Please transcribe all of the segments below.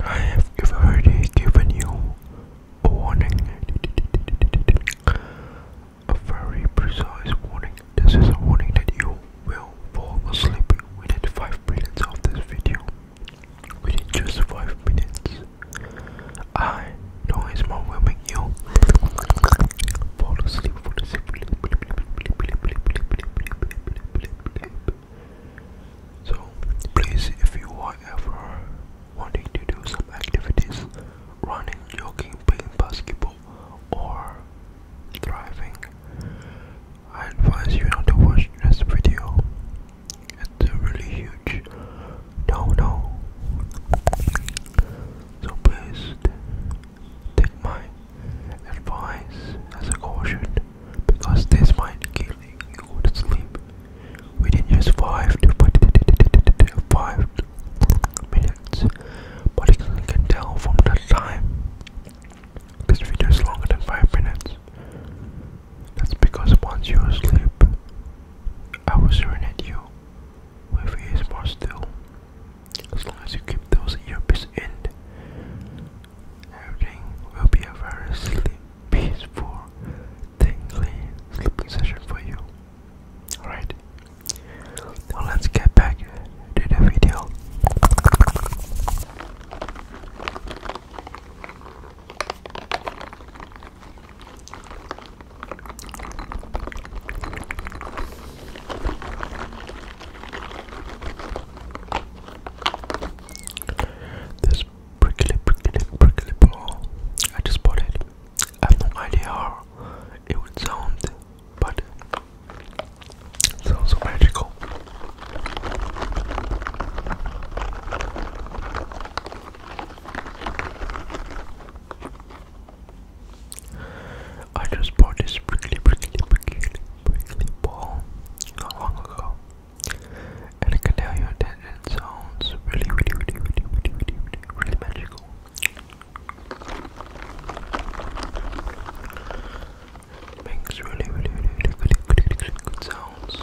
I have already given you a warning, a very precise warning. This is a warning that you will fall asleep within 5 minutes of this video. Within just 5 minutes. I noise mode will make you fall asleep, So please, if you are ever wanting to do some activities, running, jogging, playing basketball, or driving, I advise you not to watch this video. It's really huge no, no. so please take my advice as a caution because this might kill you to sleep within just 5 to 5 minutes but you can tell from that time this video is longer than 5 minutes that's because once you sleep I will serenade you with ASMR still. As long as you keep those earpiece in, everything will be a very sleep, peaceful, tingly sleeping session for you. Alright, now let's get back to the video. This prickly, prickly, prickly ball. I just bought it. I have no idea how it would sound, but it sounds so magical. I just bought this prickly, prickly, prickly, prickly ball not long ago, and I can tell you that it sounds really, really, really, really, really, really, really, magical. makes really, really, really, really, really, really good sounds.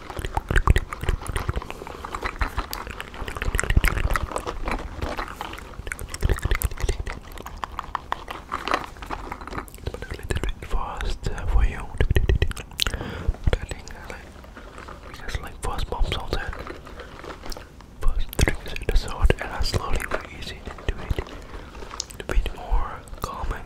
But a little bit fast uh, for you. I think I like because like first bomb sounds and first and I slowly ease into it. A bit more calming.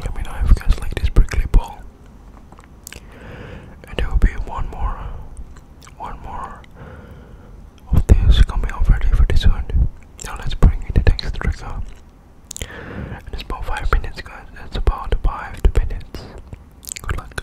Let me know if you guys like this prickly ball. And there will be one more, one more of this coming out ready for this Now let's bring in the next trigger. And it's about five minutes, guys. It's about five minutes. Good luck.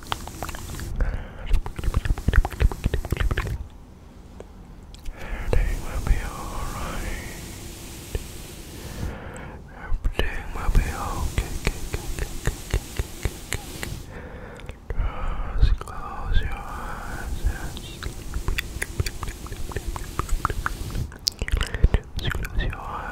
Everything will be alright. Everything will be okay. Just close your eyes Just close your eyes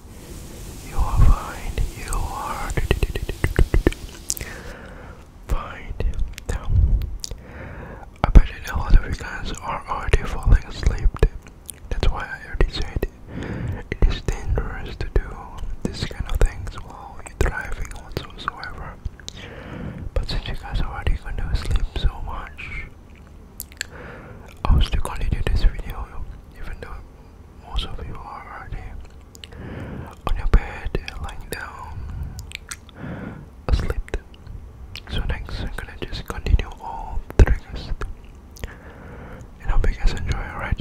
You are fine. You are fine. Now, I bet a lot of you guys are already falling asleep. That's why I already said it is dangerous to do this kind of things while you're driving whatsoever. But since you guys are already gonna sleep so much, I'll still continue this video even though most of you are already on your bed, lying down, asleep. So next, I'm gonna just continue all the triggers, and hope you guys enjoy. Alright.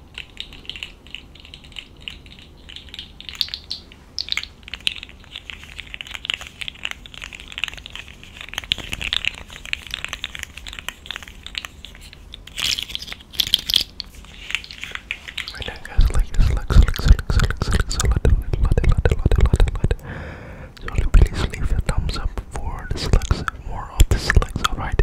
I you so please leave a thumbs up for this like more of this like alright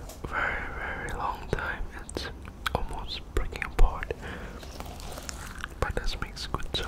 very, very long time. It's almost breaking apart, but this makes good sound.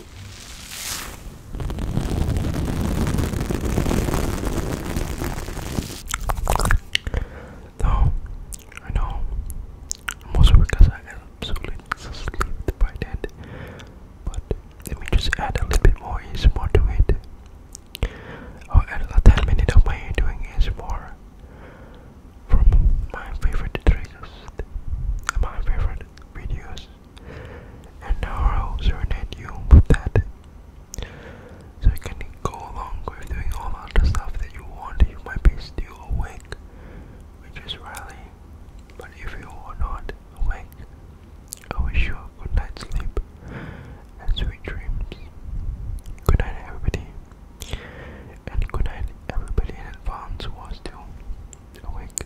Though, I know, mostly because I absolutely sleep by then, but let me just add a little bit more ASMR to it. I'll add a 10 minutes of my doing ASMR from my favorite triggers, my favorite videos and now I'll in you with that. So you can go along with doing all the stuff that you want. You might be still awake, which is really. But if you are not awake, I wish you a good night's sleep and sweet dreams. Good night, everybody. And good night, everybody in advance who are still awake.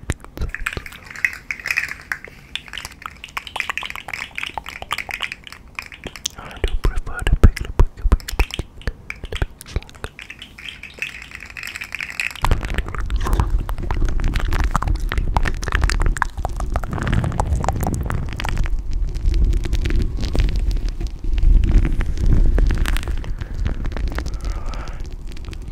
I do prefer the big, the big, the big, the big, the big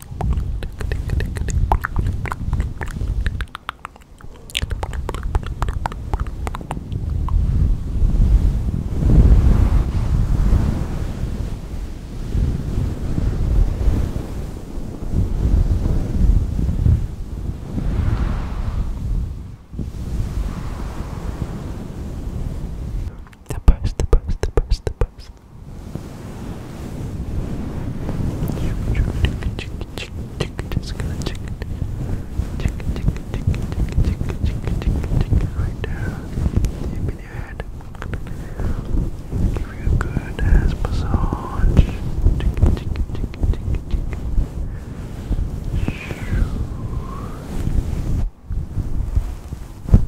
The best, the best, the best, the best. Just gonna check it. Check it, check it, check it, check it, check it, check it, check it right there. Deep in your head. Give you a good ass massage. Check it, check it, check it, check it, check it.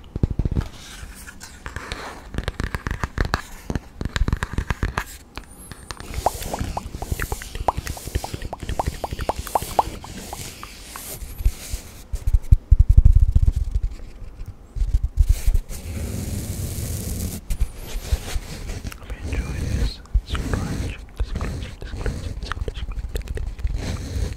I'm enjoying this scratch, scratch, scratch, scratch, scratch.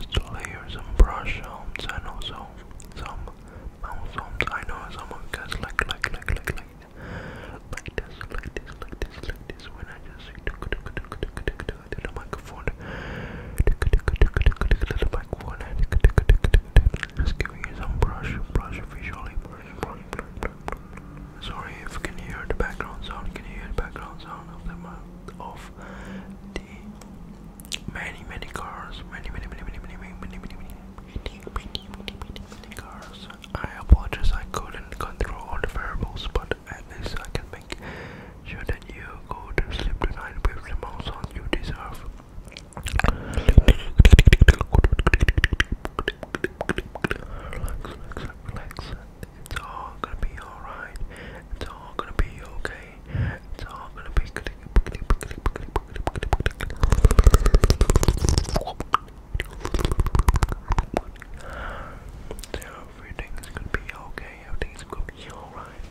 Just layer some brush sounds and also some mouth sounds. I know someone gets like, like, like, like, like, like this, like this, like this, like this. When I just say to the microphone, to the microphone. Just giving you some brush, brush visually, Sorry if you hear the background sound. Can you hear the background sound of the of the many, many cars, many, many, many, many, many, many, many, many, many, many, many, many, cars. I apologize. I couldn't control all the variables, but at least I can make sure that you go to sleep tonight with the most on you deserve relax, relax. It's all gonna be alright. It's all gonna be okay. It's all gonna be good. Everything's gonna be okay. Everything's gonna be alright.